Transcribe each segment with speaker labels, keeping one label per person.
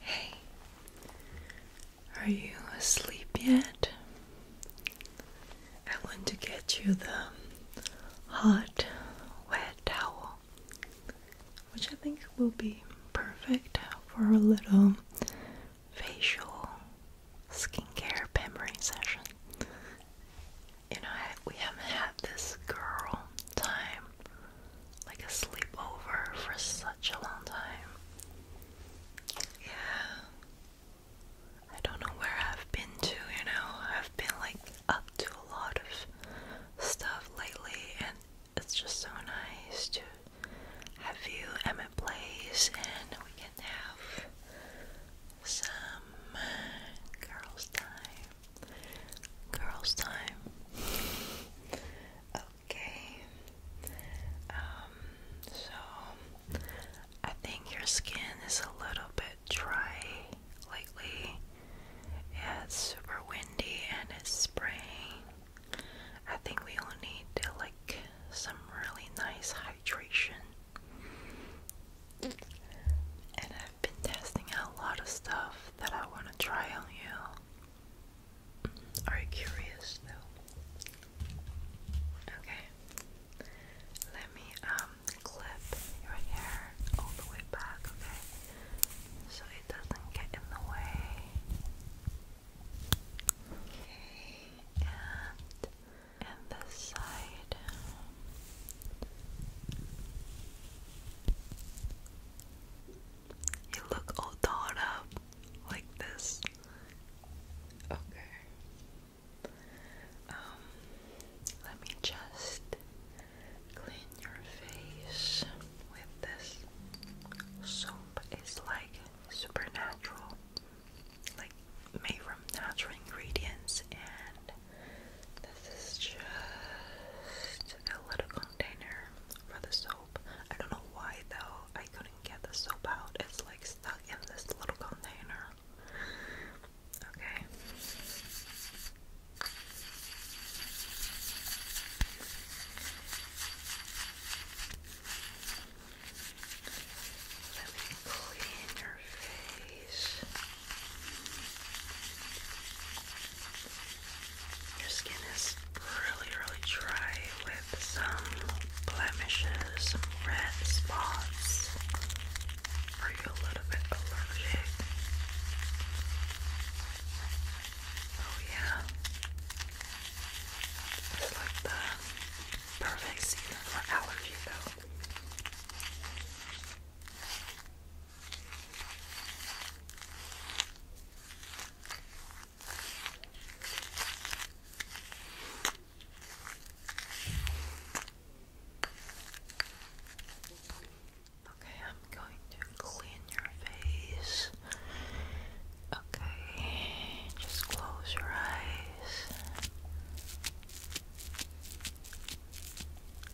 Speaker 1: Hey, are you asleep yet? I want to get you the hot, wet towel, which I think will be perfect for a little facial skincare pampering session. You know, I, we haven't had this girl time, like a sleepover, for such a long time. Yeah. I don't know where I've been to, you know. I've been like up to a lot of stuff lately, and it's just so nice to have you at my place, and we can have some girls' time. Girls' time. Okay. Um, so I think your skin is a little bit dry lately. it's super windy and it's spraying. I think we all need like some really nice hydration. And I've been testing out a lot of stuff that I want to try on you. Are you curious though? Okay. Let me um clip your hair all the way back, okay? So it doesn't get in the way. Okay, and and this side. You look all dolled up like this. Okay. Um, let me just clean your face with this soap. It's like supernatural, like made from natural ingredients and this is just a little container for the soap. I don't know why though, I couldn't get the soap out. It's like stuck in this little container. Okay. Let me clean your face. Your skin is really, really dry with some blemishes, some red spots. Are you a little bit allergic? Oh, yeah. It's like the perfect season for allergy, though. Okay, I'm going to clean your face. Okay, just close your eyes.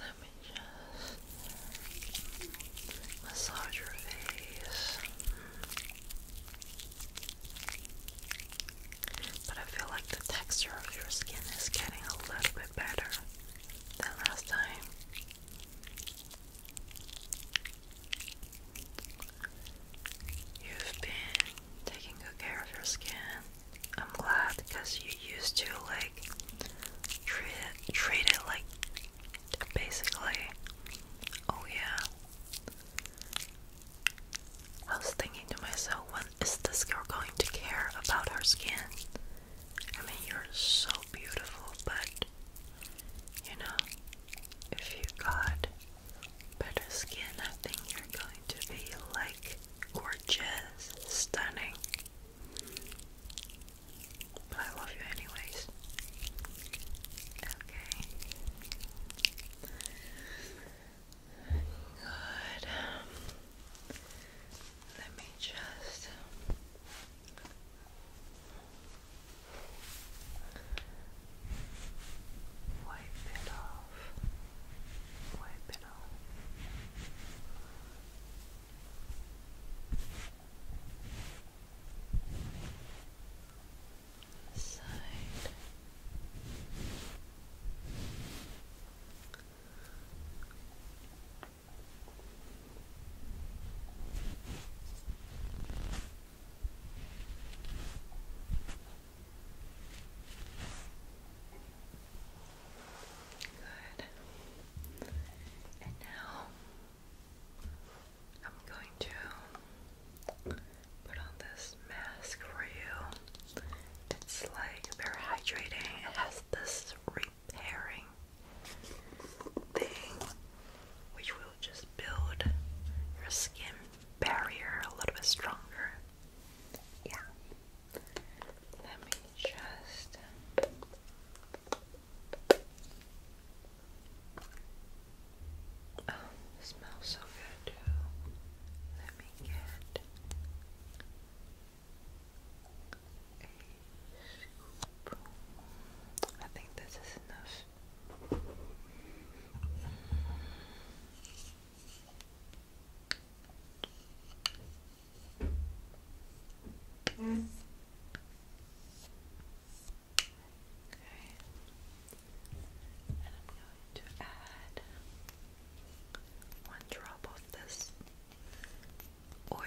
Speaker 1: Let me just massage your face. But I feel like the texture of your skin is getting a little bit better than last time. You've been taking care of your skin. I'm glad because you used to like treat it, treat it like basically, oh yeah, I was thinking to myself, when is this girl going to care about her skin? I mean, you're so beautiful, but you know, if you got better skin, I think you're going to be like gorgeous, stunning. But I love you, anyways. Okay. Good. Let me just wipe it off. Wipe it off side. Good. And now I'm going to put on this mask for you. It's like very hydrating. It has this repairing thing which will just build your skin barrier a little bit stronger. Yeah. Let me just Oh, it smells so good too. Let me get a scoop. I think this is enough. Mm. Okay. And I'm going to add one drop of this oil.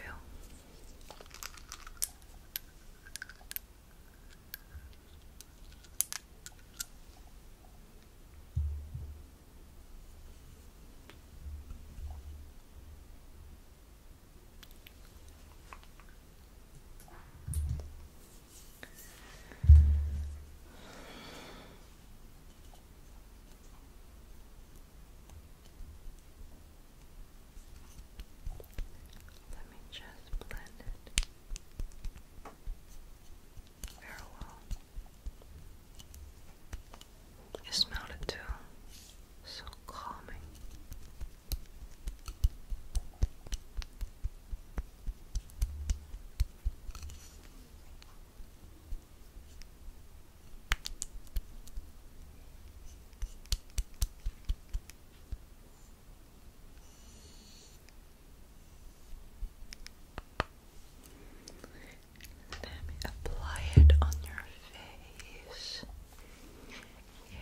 Speaker 1: Let me just blend it very well. smelled it too. So calming. Let me apply it on your face. Okay.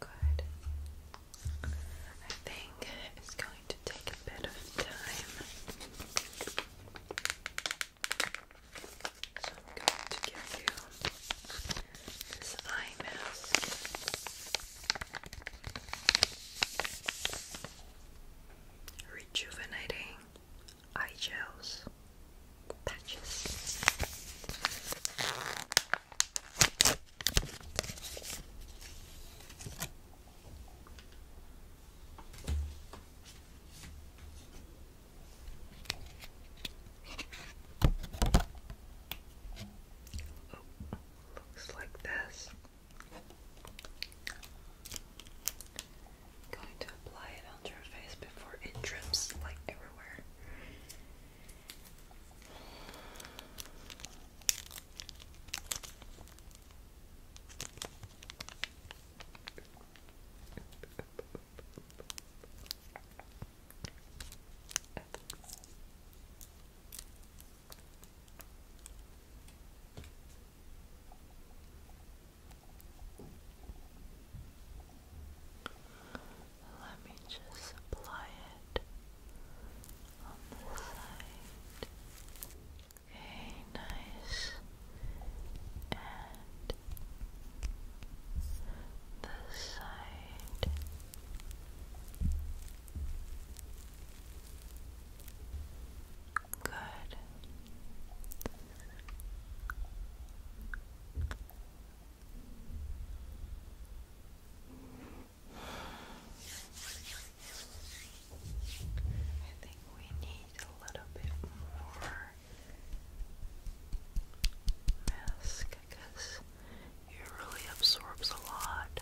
Speaker 1: Good. I think it's going to take a bit of time. So I'm going to give you this eye mask. Rejuvenating eye gels patches. Oh, looks like this. going to apply it onto your face before it drips like everywhere. Let me just apply it on the side. Okay, nice. And the side. Good. I think we need a little bit more mask because it really absorbs a lot.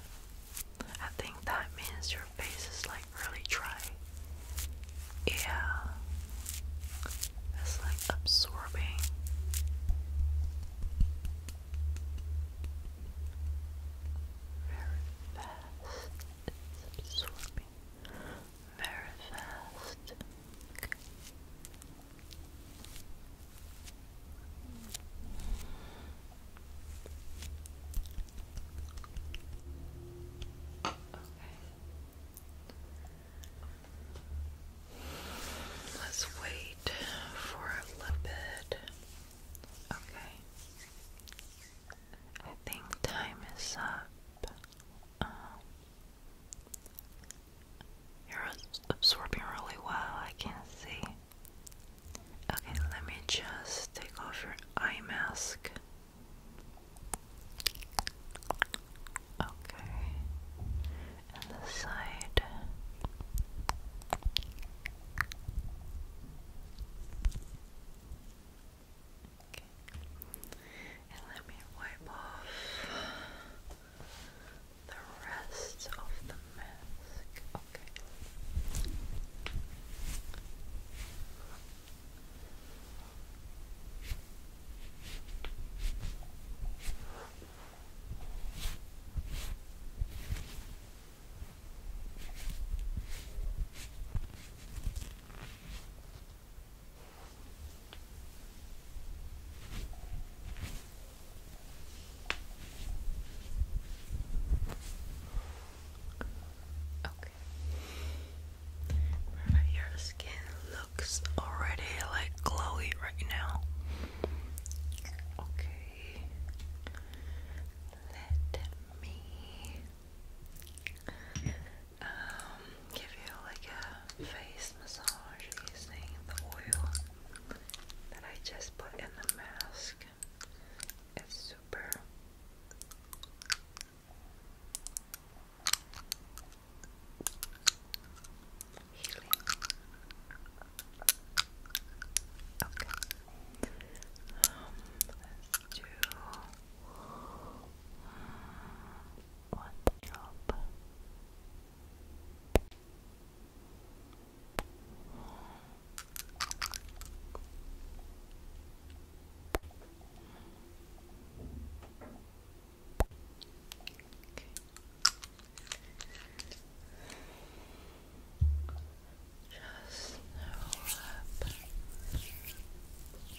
Speaker 1: I think that means your face is like really dry. Yeah, it's like absorbing. Very fast. It's absorbing very fast. Okay. Let's wait for a little bit. Okay. I think time is up. Um, you're absorbing really well, I can see. Okay, let me just take off your eye mask. Okay, and the side. Okay. And let me wipe off the rest of the mask. Okay. Okay. Your skin looks already like glowy right now. Okay. Let me um, give you like a face massage using the oil that I just put in the mask. It's super. Healing. Okay. Um, one drop. Just roll up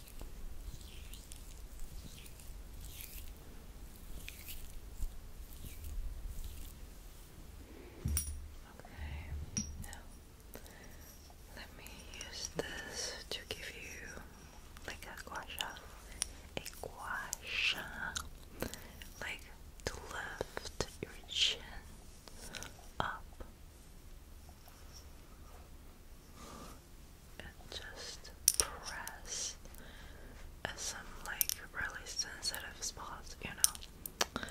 Speaker 1: Okay, let me use this to give you like a gua a gua like to lift your chin up just press uh, some like really sensitive spots, you know.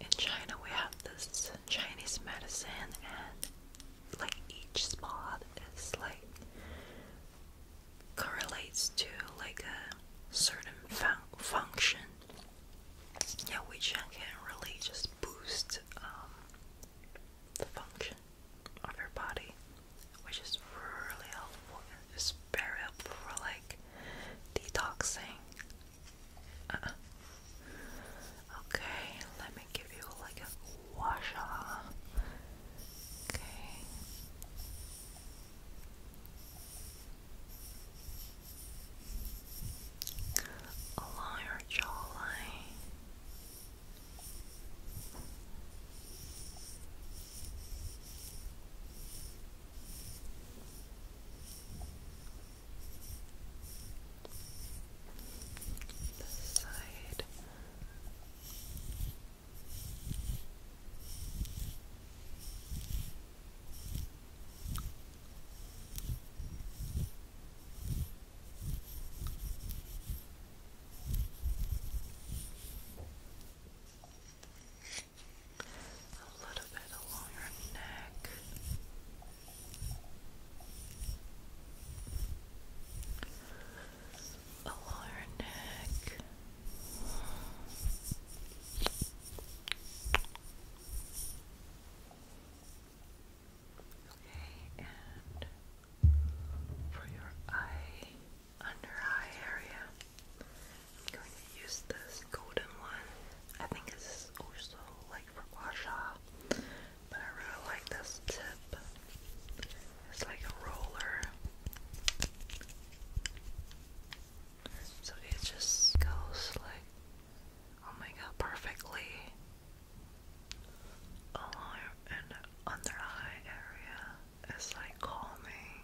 Speaker 1: In China, we have this Chinese medicine, and like each spot is like correlates to like a certain fun function. Yeah, which can really just helps boost um, the function of your body, which is really helpful. It's very helpful for like detoxing. Uh Okay, let me give you like a wash. Okay along your jawline. This side. A little bit along your neck. Along your neck. Okay, and for your eye, under eye area, I'm going to use this golden one. I think this also like for washout, but I really like this tip. It's like a roller. So it just goes like, oh my god, perfectly alarm and under eye area is like calming.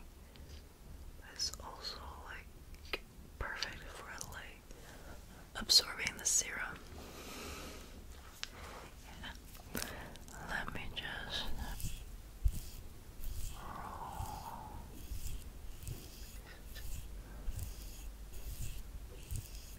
Speaker 1: It's also like perfect for like absorbing the serum. Yeah. Let me just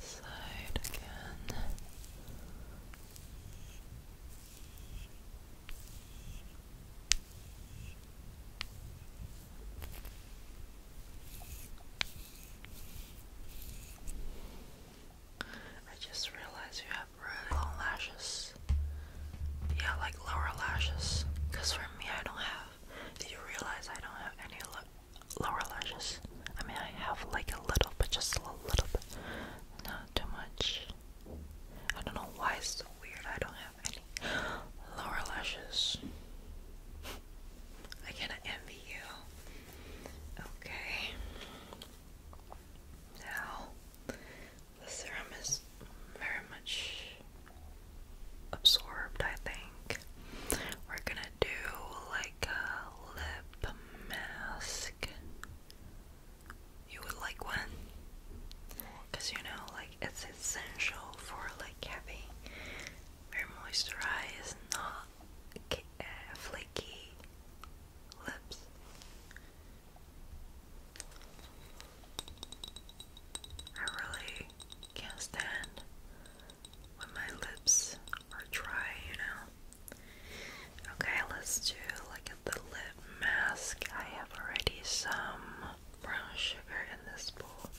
Speaker 1: This side again. I just realized you have really long lashes. Yeah, like lower lashes. Cause for me, I don't have. Did you realize I don't have any lower lashes. I mean, I have like a little, but just a little bit, not too much. I don't know why it's weird. I don't have any lower lashes. I kind envy you. Okay. Now, the serum is very much absorbed, I think. We're gonna do like a lip mask. You would like one? Because you know, like, it's essential for like having very moisturized, not uh, flaky lips. I really can't stand when my lips are dry, you know. Okay, let's do like the lip mask. I have already some brown sugar in this bowl.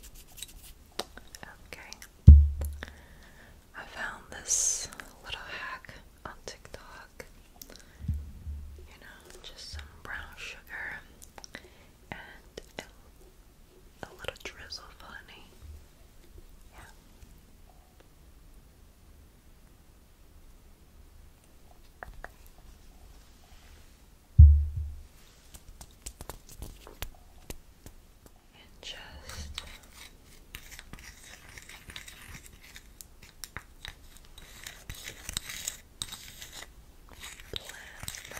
Speaker 1: Okay. I found this little hack on TikTok. You know, just some brown sugar and a, little drizzle of honey. Yeah. And just blend them together.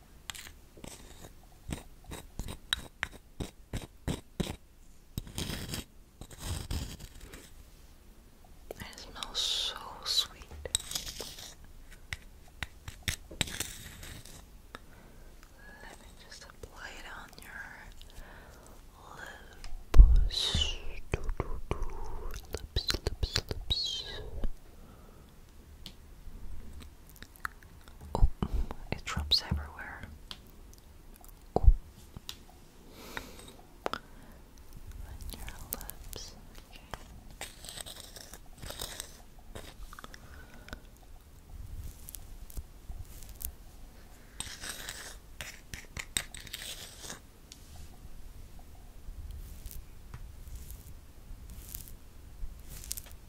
Speaker 1: It smells so sweet. Let me just apply it on your lips. Lips, lips, lips. Oh, it drops everywhere. Oh. your lips. Okay,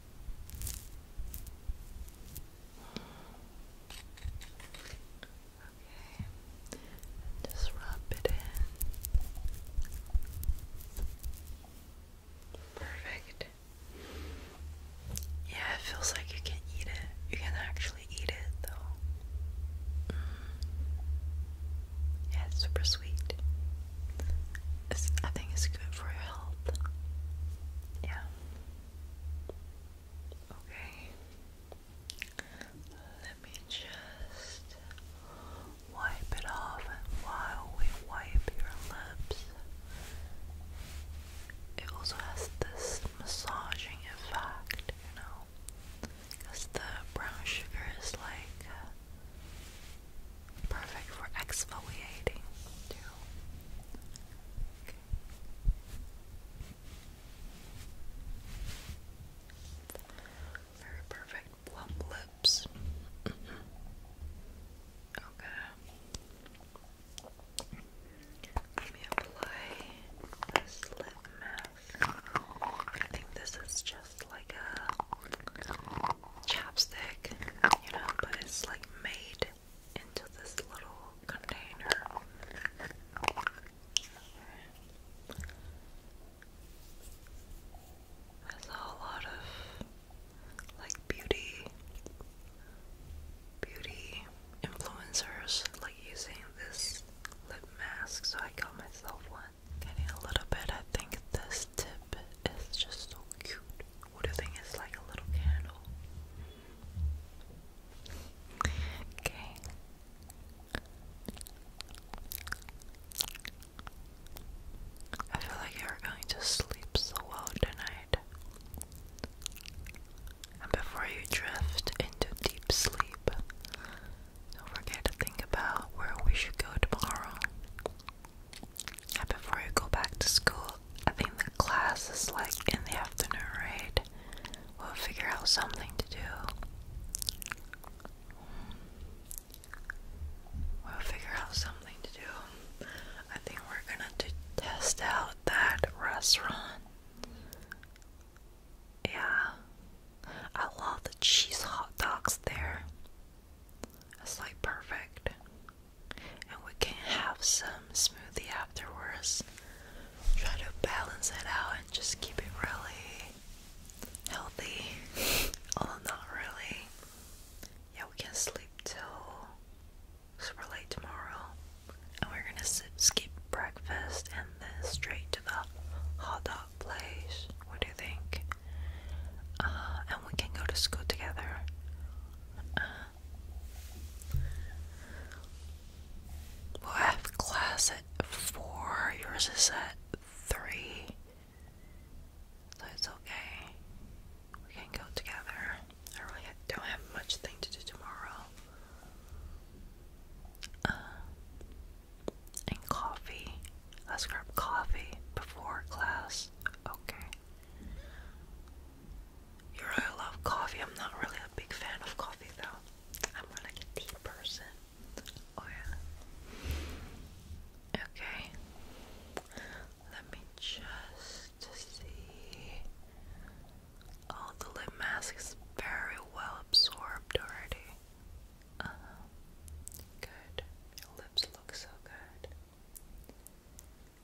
Speaker 1: just rub it in. Perfect. Yeah, it feels like you can eat it. You can actually eat it though. Mm. Yeah, super sweet. I think it's good for your health. Yeah. Okay. Let me just wipe it off, and while we wipe your lips, it also has this massaging effect, you know, because the brown sugar is like. Perfect for exfoliating too. Very perfect plump lips. Okay. Let me apply this lip mask. I think this is just like a chapstick, you know, but it's like made into this little container. I saw a lot of like beauty beauty influencers like using this lip mask so I got myself one. Getting a little bit I think this tip is just so cute. What do you think it's like a little candle? Okay. I feel like you're going to sleep so well tonight. And before you drift into deep sleep, don't forget to think about where we should go tomorrow before I go back to school, I think the class is like in the afternoon, right? We'll figure out something to do. We'll figure out something to do. I think we're gonna test out that restaurant. Yeah. I love the cheese hot dogs there. That's like perfect. And we can have some smoothie afterwards. Try to balance it out and just keep it really healthy. Although oh, not really. Yeah, we can sleep till super late tomorrow. And we're gonna skip breakfast and then straight to the hot dog place. What do you think? Uh, and we can go to school together. Uh, we have class at 4, yours is at 3. So it's okay. We can go together. I really don't have much thing to do tomorrow. Uh, and coffee. Let's grab coffee before class. Okay. You really love coffee. I'm not really a big fan of coffee though. I'm more like a tea person. Oh yeah. Okay. Let me just see. Oh, the lip mask is very well absorbed already. Uh Good. Your lips look so good.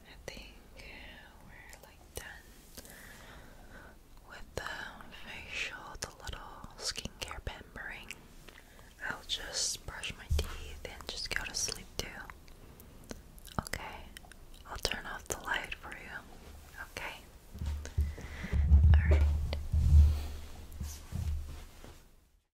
Speaker 1: I think we're like done with the facial, the little skincare pampering. I'll just brush my teeth and just go to sleep too. Okay, I'll turn off the light for you. Okay, alright.